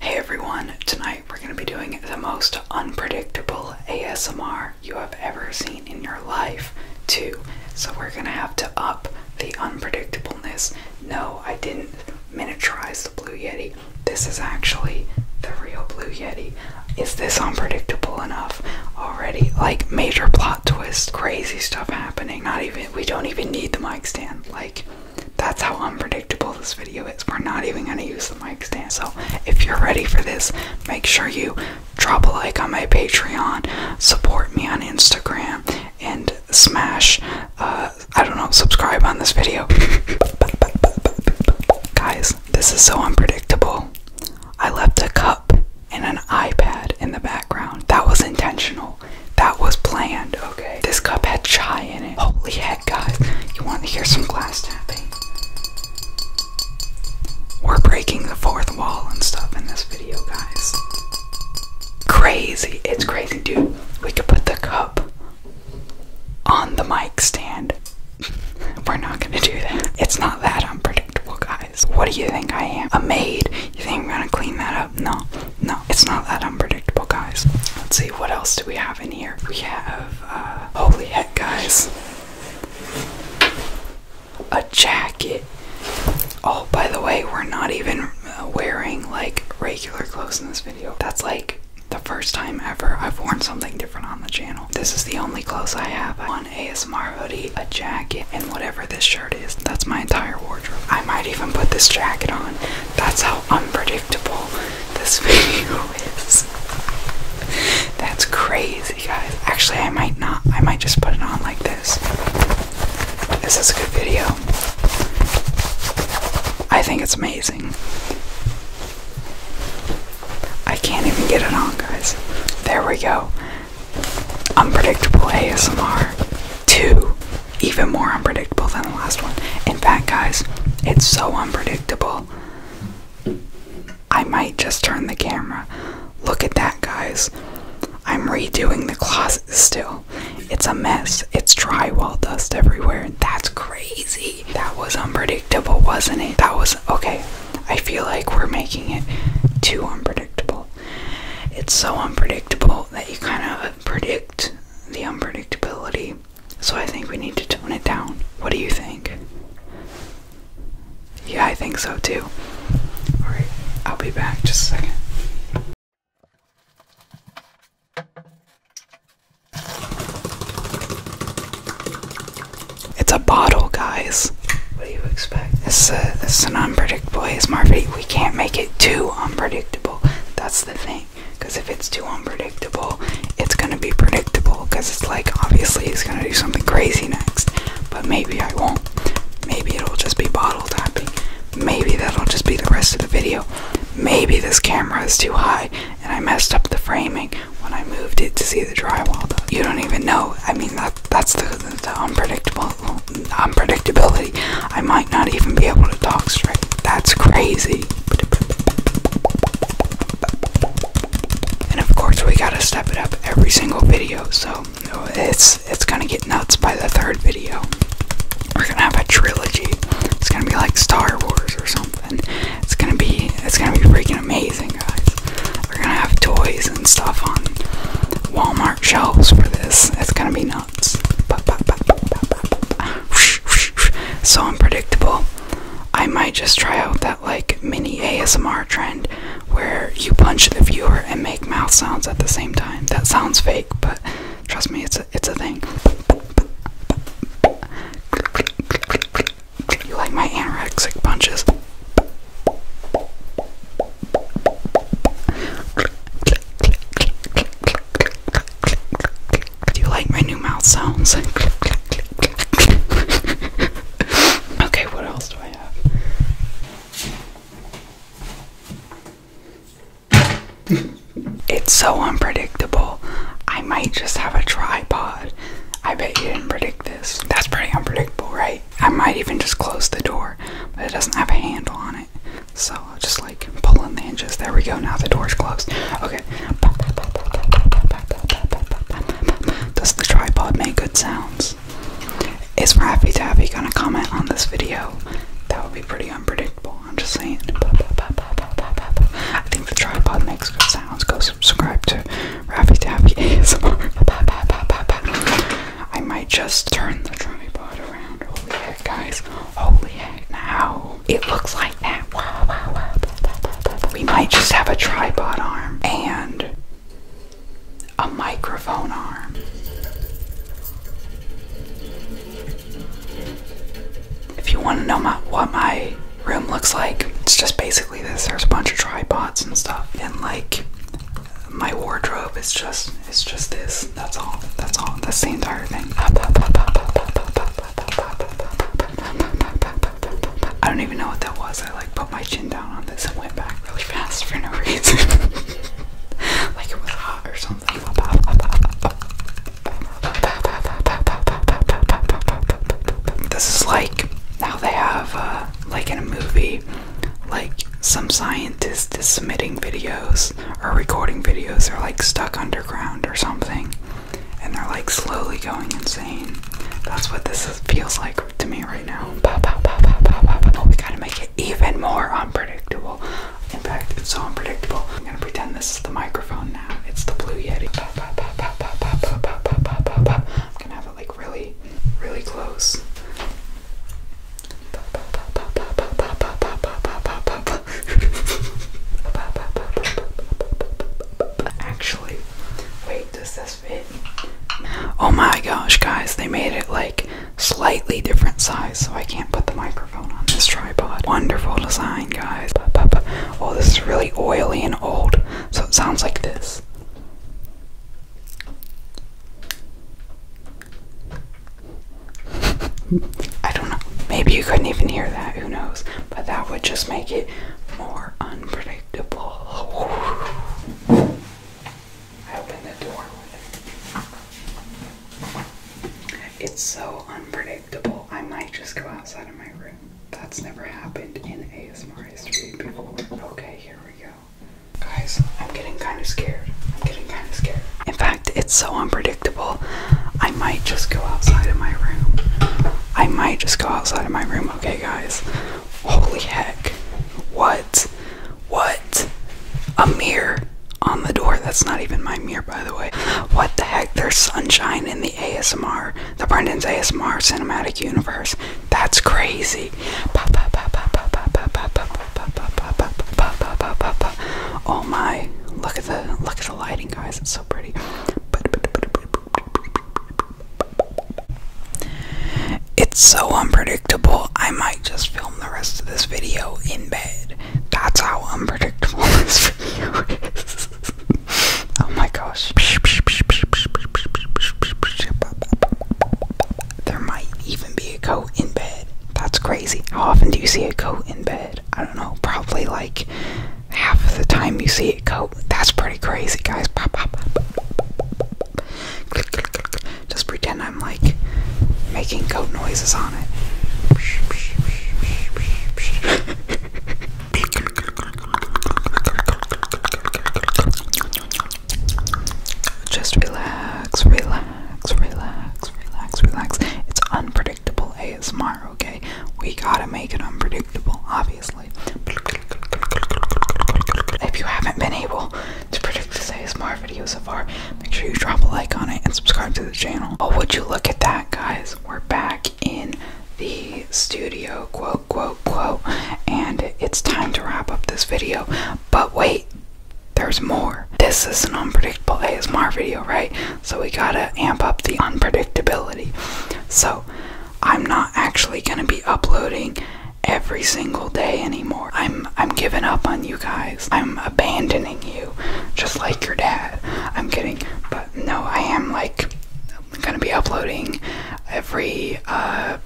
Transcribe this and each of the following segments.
Hey everyone, tonight we're going to be doing the most unpredictable ASMR you have ever seen in your life, too. So we're going to have to up the unpredictableness. No, I didn't miniaturize the Blue Yeti. This is actually the real Blue Yeti. Is this unpredictable enough already? Like major plot twist, crazy stuff happening. Not even we don't even need the mic stand. Like that's how unpredictable this video is. We're not even gonna use the mic stand. So if you're ready for this, make sure you drop a like on my Patreon, support me on Instagram, and smash uh, I don't know, subscribe on this video. Guys, this is so unpredictable. I left a cup and an iPad in the background. That was intentional that was planned, okay? This cup had chai in it. Holy heck, guys. You want to hear some glass tapping? We're breaking the fourth wall and stuff in this video, guys. Crazy. It's crazy, dude. We could put the cup on the mic stand. We're not gonna do that. It's not that unpredictable, guys. What do you think I am? A maid? You think we're gonna clean that up? No, no, it's not that unpredictable, guys. Let's see, what else do we have in here? We have, uh, holy heck, guys, a jacket. Oh, by the way, we're not even uh, wearing like regular clothes in this video. That's like the first time ever I've worn something different on the channel. This is the only clothes I have. One ASMR hoodie, a jacket, and whatever this shirt is. That's my entire wardrobe. I might even put this jacket on. That's how unpredictable this video is. That's crazy, guys. Actually, I might not. I might just put it on like this. This is a good video. I think it's amazing. I can't even get it on, guys. There we go. Unpredictable ASMR. Two, even more unpredictable than the last one. In fact, guys, it's so unpredictable. I might just turn the camera. Look at that, guys. I'm redoing the closet still. It's a mess. It's drywall dust everywhere. That's crazy. That was unpredictable, wasn't it? That was okay. I feel like we're making it too unpredictable. It's so unpredictable that you kind of predict the unpredictability. So I think we need to tone it down. What do you think? Yeah, I think so too. Alright, I'll be back just a second. It's a bottle, guys. What do you expect? This uh, is, a, this an unpredictable ASMR video we can't make it too unpredictable. That's the thing. Because if it's too unpredictable, it's going to be predictable. Because it's like, obviously, it's going to do something crazy next. But maybe I won't. Maybe it'll just be bottle tapping. Maybe that'll just be the rest of the video. Maybe this camera is too high and I messed up the framing when I moved it to see the drywall. Though. You don't even know. I mean, that that's the unpredictable unpredictability. I might not even be able to talk straight. That's crazy. And of course, we gotta step it up every single video. So it's it's gonna get nuts by the third video. We're gonna have a trilogy. It's gonna be like Star Wars or something. It's gonna be it's gonna be freaking amazing, guys. We're gonna have toys and stuff on Walmart ASMR shows for this. It's gonna be nuts. So unpredictable. I might just try out that like mini ASMR trend where you punch the viewer and make mouth sounds at the same time. That sounds fake, but trust me, it's a it's a thing. You like my anorexic punches? Do you like my new mouth sounds? okay, what else do I have? it's so unpredictable. I might just have a tripod. I bet you didn't predict this. That's pretty unpredictable, right? I might even just close the door, but it doesn't have a handle on it. So I'll just like pull the hinges. There we go. Now the door's closed. Okay. Does the tripod make good sounds? Is Rappy Tappy gonna comment on this video? That would be pretty unpredictable. I'm just saying. I think the tripod makes good sounds. Go subscribe to Rappy Tappy ASMR. I might just turn the tripod around. Holy heck, guys. Holy heck. Now it looks like that. We might just have a tripod arm and a microphone arm. If you want to know what my room looks like, it's just basically this. There's a bunch of tripods and stuff, and like my wardrobe is just it's just this. That's all. That's all. That's the entire thing. I don't even know what that was. I like put my chin down on this and went back really fast for no reason. like it was hot or something. This is like now they have like in a movie like some scientists is submitting videos or recording videos are like stuck underground or something and they're like slowly going insane. That's what this feels like to me right now. Bah, bah, We gotta make it even more unpredictable. In fact, it's so unpredictable. I'm gonna pretend this is the microphone now. It's the Blue Yeti. I'm gonna have it like really really close. Actually, wait, does this fit? Oh my gosh, guys, they made it like slightly different size, so I can't put the microphone on this tripod. Wonderful design, guys. Oh, this is really oily and old, so it sounds like this. I don't know. Maybe you couldn't even hear that. Who knows? But that would just make it more unpredictable. It's so unpredictable. I might just go outside of my room. That's never happened in ASMR history before. Okay, here we go. Guys, I'm getting kind of scared. I'm getting kind of scared. In fact, it's so unpredictable. I might just go outside of my room. I might just go outside of my room. Okay, guys. Holy heck. What? What? A mirror on the door. That's not even my mirror, by the way. What the heck? There's sunshine in the ASMR, the Brendan's ASMR cinematic universe. That's crazy. Oh my, look at the look at the lighting guys, it's so pretty. It's so unpredictable. I might just film the rest of this video in bed. That's how unpredictable this video is oh my gosh. There might even be a coat in bed. That's crazy. How often do you see a coat in bed? I don't know. Probably like half of the time you see a coat. That's pretty crazy, guys. Pop, pop, Just pretend I'm like making coat noises on it. Just relax, relax, relax, relax, relax. It's unpredictable ASMR, okay? We gotta make it unpredictable, obviously. If you haven't been able to predict this ASMR video so far, make sure you drop a like on it and subscribe to the channel. Oh, would you look at that, guys? We're back in the studio, quote quote, quote, And it's time to wrap up this video. But wait, there's more. This is an unpredictable ASMR video, right? So we gotta amp up the unpredictability. So I'm not actually gonna be uploading every single day anymore. I'm I'm giving up on you guys. I'm abandoning you, just like your dad. I'm kidding, but no, I am like I'm gonna be uploading every uh,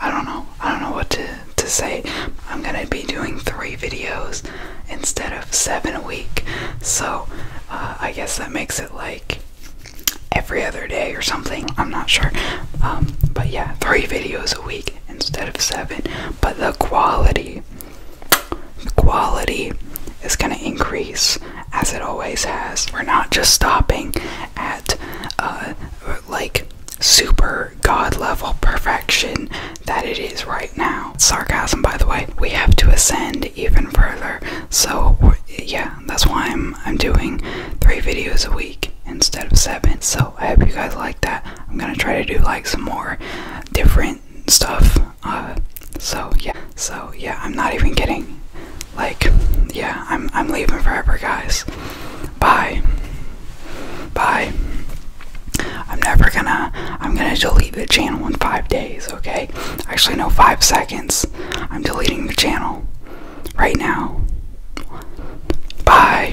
I don't know. I don't know what to say. I'm gonna be doing three videos instead of seven a week. So uh, I guess that makes it like every other day or something. I'm not sure. Um, but yeah, three videos a week instead of seven. But the quality quality is going to increase as it always has. We're not just stopping at uh, like super god level perfection that it is right now. Sarcasm, by the way. We have to ascend even further. So yeah, that's why I'm I'm doing three videos a week instead of seven. So I hope you guys like that. I'm gonna try to do like some more different stuff. Uh, so yeah, so yeah, I'm not even kidding. Like, yeah, I'm I'm leaving forever, guys. Bye. Bye. I'm never gonna. I'm gonna delete the channel in five days. Okay. Actually, no, five seconds. I'm deleting the channel right now. Bye.